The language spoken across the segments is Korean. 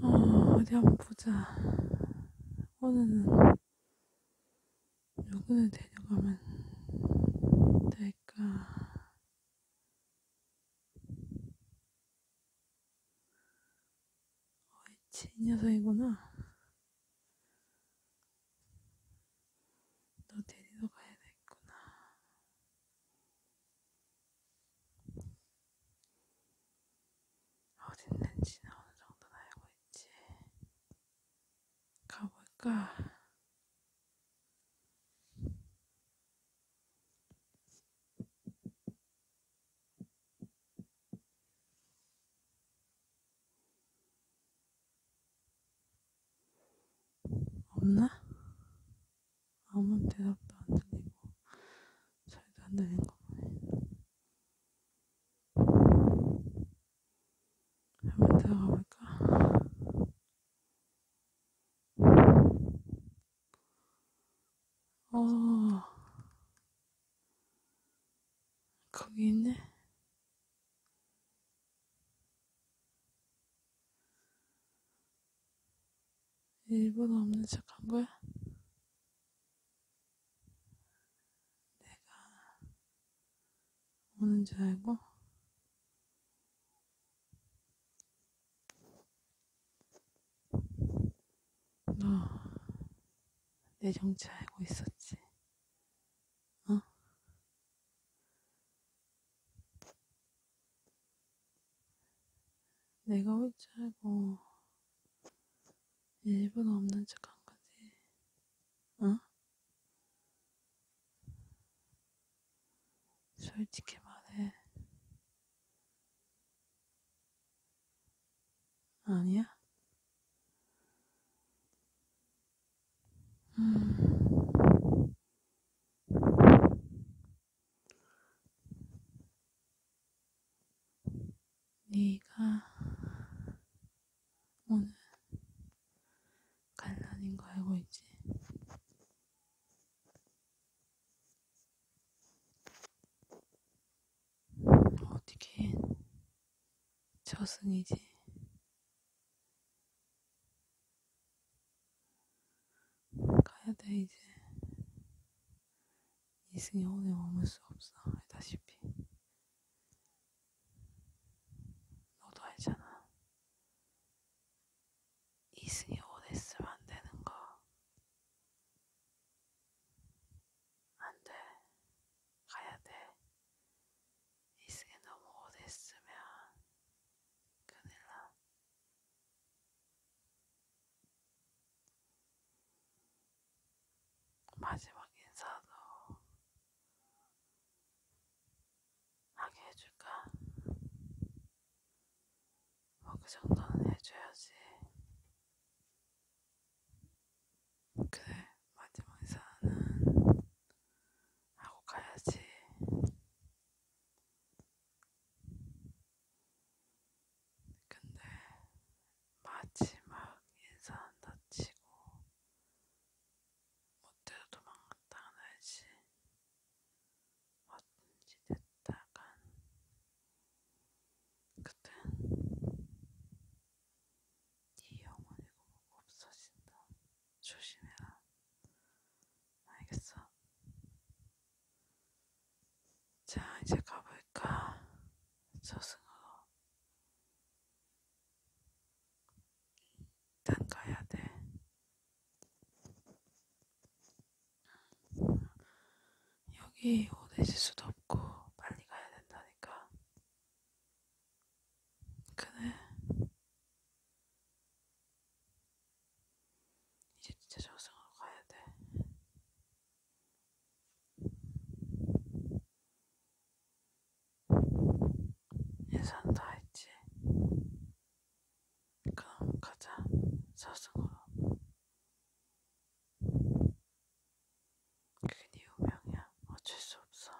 어, 어디 한번 보자. 오늘은 누구를 데려가면 될까? 어이치 이 녀석이구나. 너 데리러 가야 되겠구나. 어딨는지는 어느 정도는 알고 있지. 가볼까? 없나? 아무 대답도 안 들리고 잘도 안 되는 거 보네 한번 들어가 볼까? 어 거기 있네. 일본 없는 척 한 거야? 내가 오는 줄 알고? 너 내 정체 알고 있었지? 어? 내가 올 줄 알고 일부러 없는 척 한 거지. 어? 솔직히 말해. 아니야? 음. 네가 오늘 갈라는 거 알고 있지? 어떻게 저승이지. 가야 돼, 이제. 이승이 오늘 머물 수 없어, 알다시피. 너도 알잖아. 이승이 오래 있으면 안 되는 거. 안 돼. 가야 돼. 이 시계 너무 오래 있으면 큰일 나. 마지막 인사도 하게 해줄까? 뭐 그 정도는 해줘야지. 그래, 마지막 인사는 하고 가야지. 근데 마지막 인사한다 치고 못돼도 도망갔다가야지 어쩐지 됐다간 그땐 네 영혼이 고보고 없어진다. 조심해라. 알겠어? 자, 이제 가볼까? 저승으로. 일단 가야 돼. 여기 오래질 수도 없고 빨리 가야 된다니까. 그래. 이제 진짜 저승으로 가야 돼. 예산 다 했지. 그럼 가자. 저승으로. 그게 네 운명이야. 어쩔 수 없어.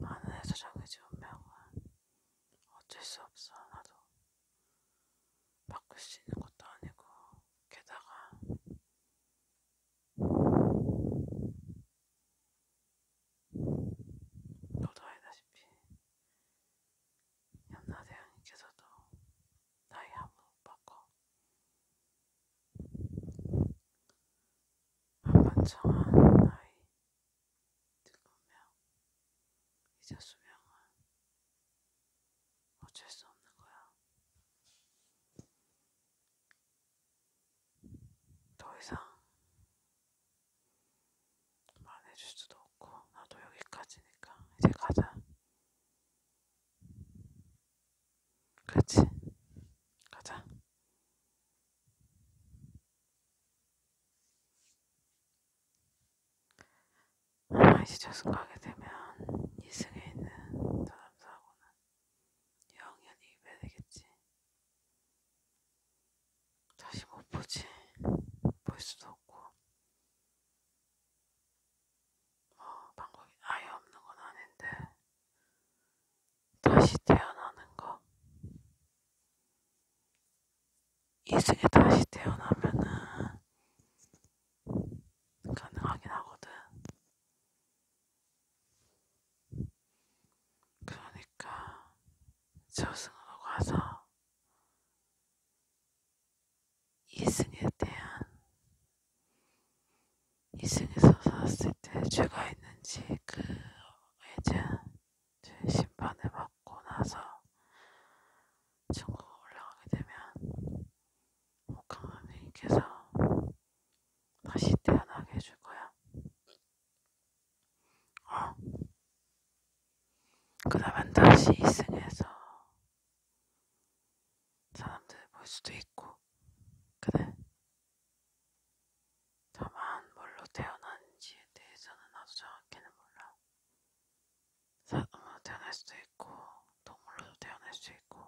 하늘에서 정해진 운명은 어쩔 수 없어. 나도 바꿀 수 있는 것도 아니고 게다가 너도 알다시피 염라대왕님께서도 나의 아무 오빠가 만만창한 나이 늙으며 이제 수명은 어쩔 수 없는 거야. 더 이상 말해줄 수도 없고 나도 여기까지니까 이제 가자. 그렇지. 가자. 아이시 저승 가게 되면 이승에 있는 사람사하고는 영연히 입에 되겠지. 다시 못 보지. 볼 수도 없고. 어, 방법이 아예 없는 건 아닌데 다시 태어나는 거 이제 다시 태어나면은 가능하긴 하거든. 그러니까 저승으로 가서 이승에 대한 이승에서 살았을 때 죄가 있는지 그에 대한 심판을 받고 나서 천국 올라가게 되면 목감님께서 다시 태어나게 해줄 거야. 어. 그러면 다시 이승에서 사람들 볼 수도 있고, 그래? 다만 뭘로 태어났는지에 대해서는 나도 정확히는 몰라. 사람으로 어, 태어날 수도 있고, 동물로도 태어날 수 있고.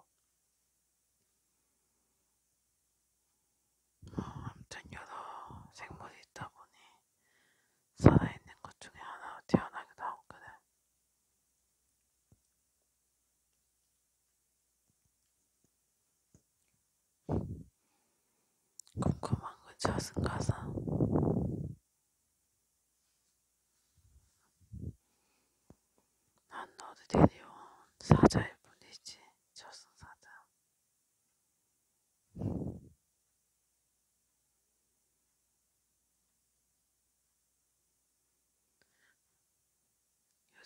어, 아무튼 여러 생물이 있다 보니 살아있는 것 중에 하나로 태어나기도 하고 그래. 궁금한 건 저승 가서 난 너도 데려온 사자일 뿐이지 저승 사자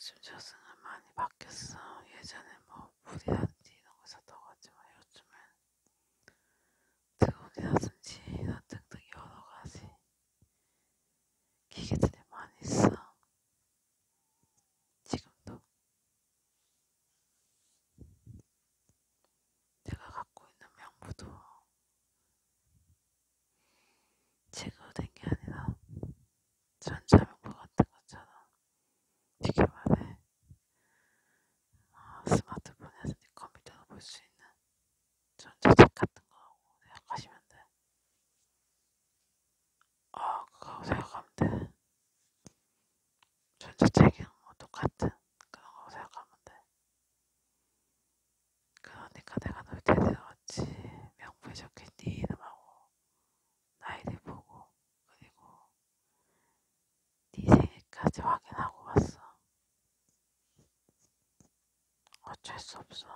요즘 저승은 많이 바뀌었어. 예전에 뭐 물이라든지 이런 거 샀다고 하지만 요즘은 드론이라든지 이런 등등 여러 가지 기계들이 많이 있어. 지금도 내가 갖고 있는 명부도 책으로 된게 아니라 전자명부 같은 것처럼 쉽게 말해 어, 스마트폰에서 네 컴퓨터로 볼 수 있는 전자책 같은 거라고 생각하시면 돼. 어, 아, 그거라고 생각하면 돼. 전자책이랑 뭐 똑같은 그런 거라고 생각하면 돼. 그러니까 내가 놀때 들어갔지. 명부에 적힌 네 이름하고 나이를 보고 그리고 네 생일까지 확인하고 갔어. 어쩔 수 없어.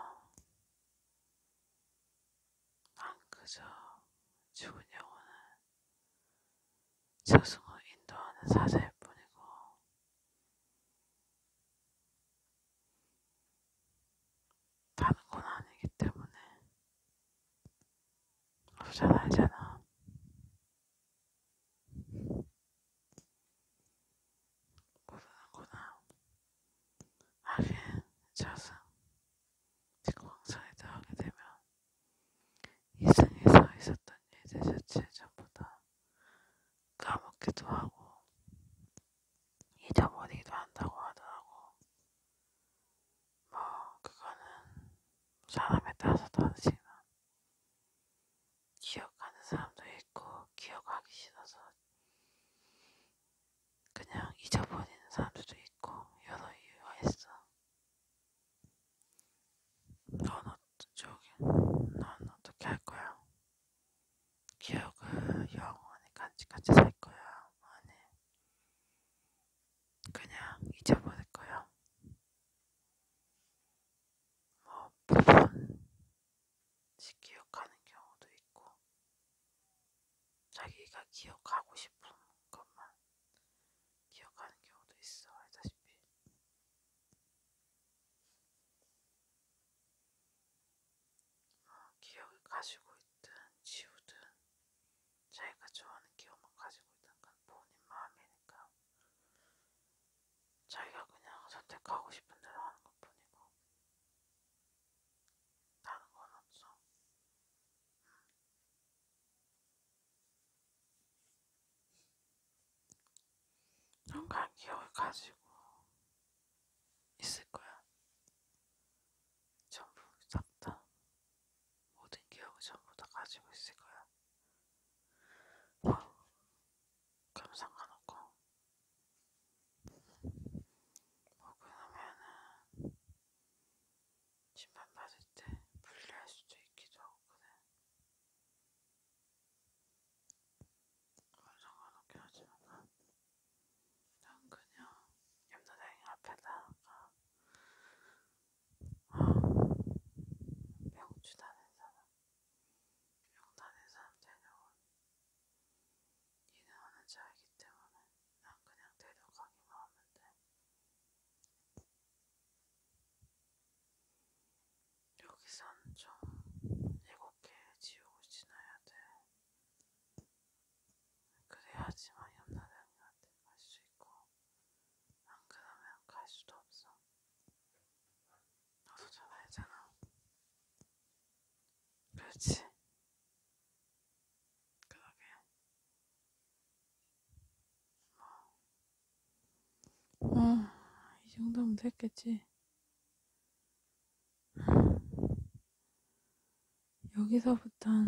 난 그저 죽은 영혼을 저승으로 인도하는 사자일 뿐이고 다는 건 아니기 때문에 잘 알잖아. 모르는구나. 하긴 자승 직광사에다 하게 되면 이승에서 있었던 일들 자체 전부 다 까먹기도 하고 잊어버리기도 한다고 하더라고. 뭐 그거는 사람에 따라서 다르지만 기억하는 사람도 있고 기억하기 싫어서 그냥 잊어버리는 사람들도 있고 여러 이유가 있어. 넌 저기, 넌 어떻게 할 거야? 기억을 영원히 간직하지 살 거야, 아니. 그냥 잊어버릴 거야. 뭐, 부분씩 기억하는 경우도 있고, 자기가 기억하고 싶은 것만 기억하는 경우도 있어, 알다시피. 기억을 가지고 있든 지우든 자기가 좋아하는 기억만 가지고 있는 건 본인 마음이니까 자기가 그냥 선택하고 싶은 대로 하는 것 뿐이고 다른 건 없어. 음. 정말 기억을 가지고 있을 거야. 전부 싹다 모든 기억을 전부 다 가지고 있을 거야. 어, 그럼 상관없고 먹고 나면은 침반 받을 때 분리할 수도 있기도 하고 그래. 그건 상관없긴 하지만 난 그냥 염소댕이 앞에다가 어, 아, 명주 다닌 사람 명 다닌 사람 데려온 이는 어느 자이기 때문에 난 그냥 데려가기만 하면 돼 여기선 좀 이렇게 지우고 지나야 돼. 그래야지만 염라대왕한테 갈 수 있고 안 그러면 갈 수도 없어. 너도 잘 알잖아. 그렇지? 그러게. 아, 이 정도면 됐겠지. 여기서부턴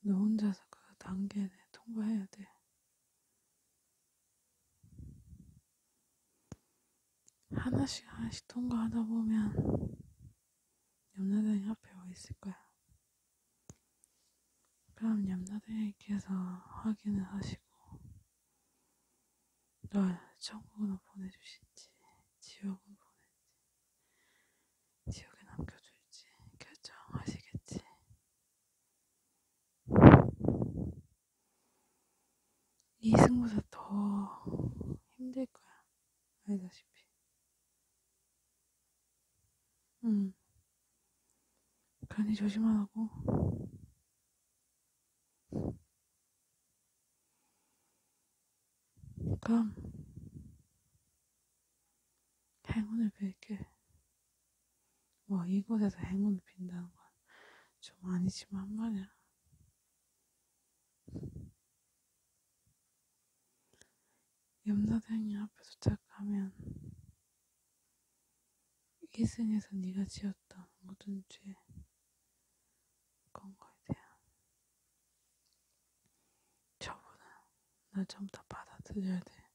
너 혼자서 그 단계에 통과해야 돼. 하나씩 하나씩 통과하다 보면 염라단이 앞에 와 있을 거야. 그럼 염라대왕께서 확인을 하시고 널 천국으로 보내주실지 지옥으로 보낼지 지옥에 남겨줄지 결정하시겠지 이 승부사 더 힘들 거야 알다시피 응. 간이 조심하라고. 그럼, 행운을 빌게. 뭐, 이곳에서 행운을 빈다는 건 좀 아니지만 말이야. 염라대왕이 앞에 도착하면 이승에서 네가 지었던 모든 죄 그런 거에 대한 처분은 나 전부 다 받아들여야 돼.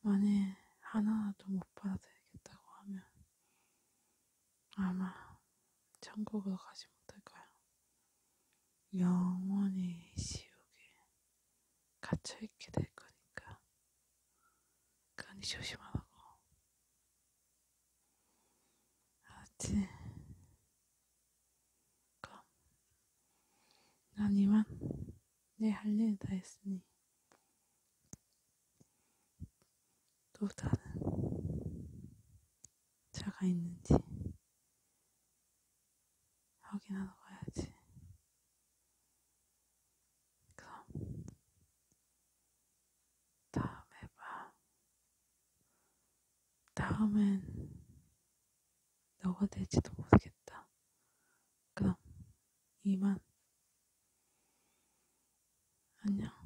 만일 하나라도 못 받아들이겠다고 하면 아마 천국으로 가지 못할 거야. 영원히 지옥에 갇혀있게 될 거니까 그러니 조심하라고 알았지? 그럼 난 이만 내 할 일 다 했으니 또 다른 차가 있는지 여기나 넣어야지. 그럼 다음에 봐. 다음엔 너가 될지도 모르겠다. 그럼 이만. 안녕.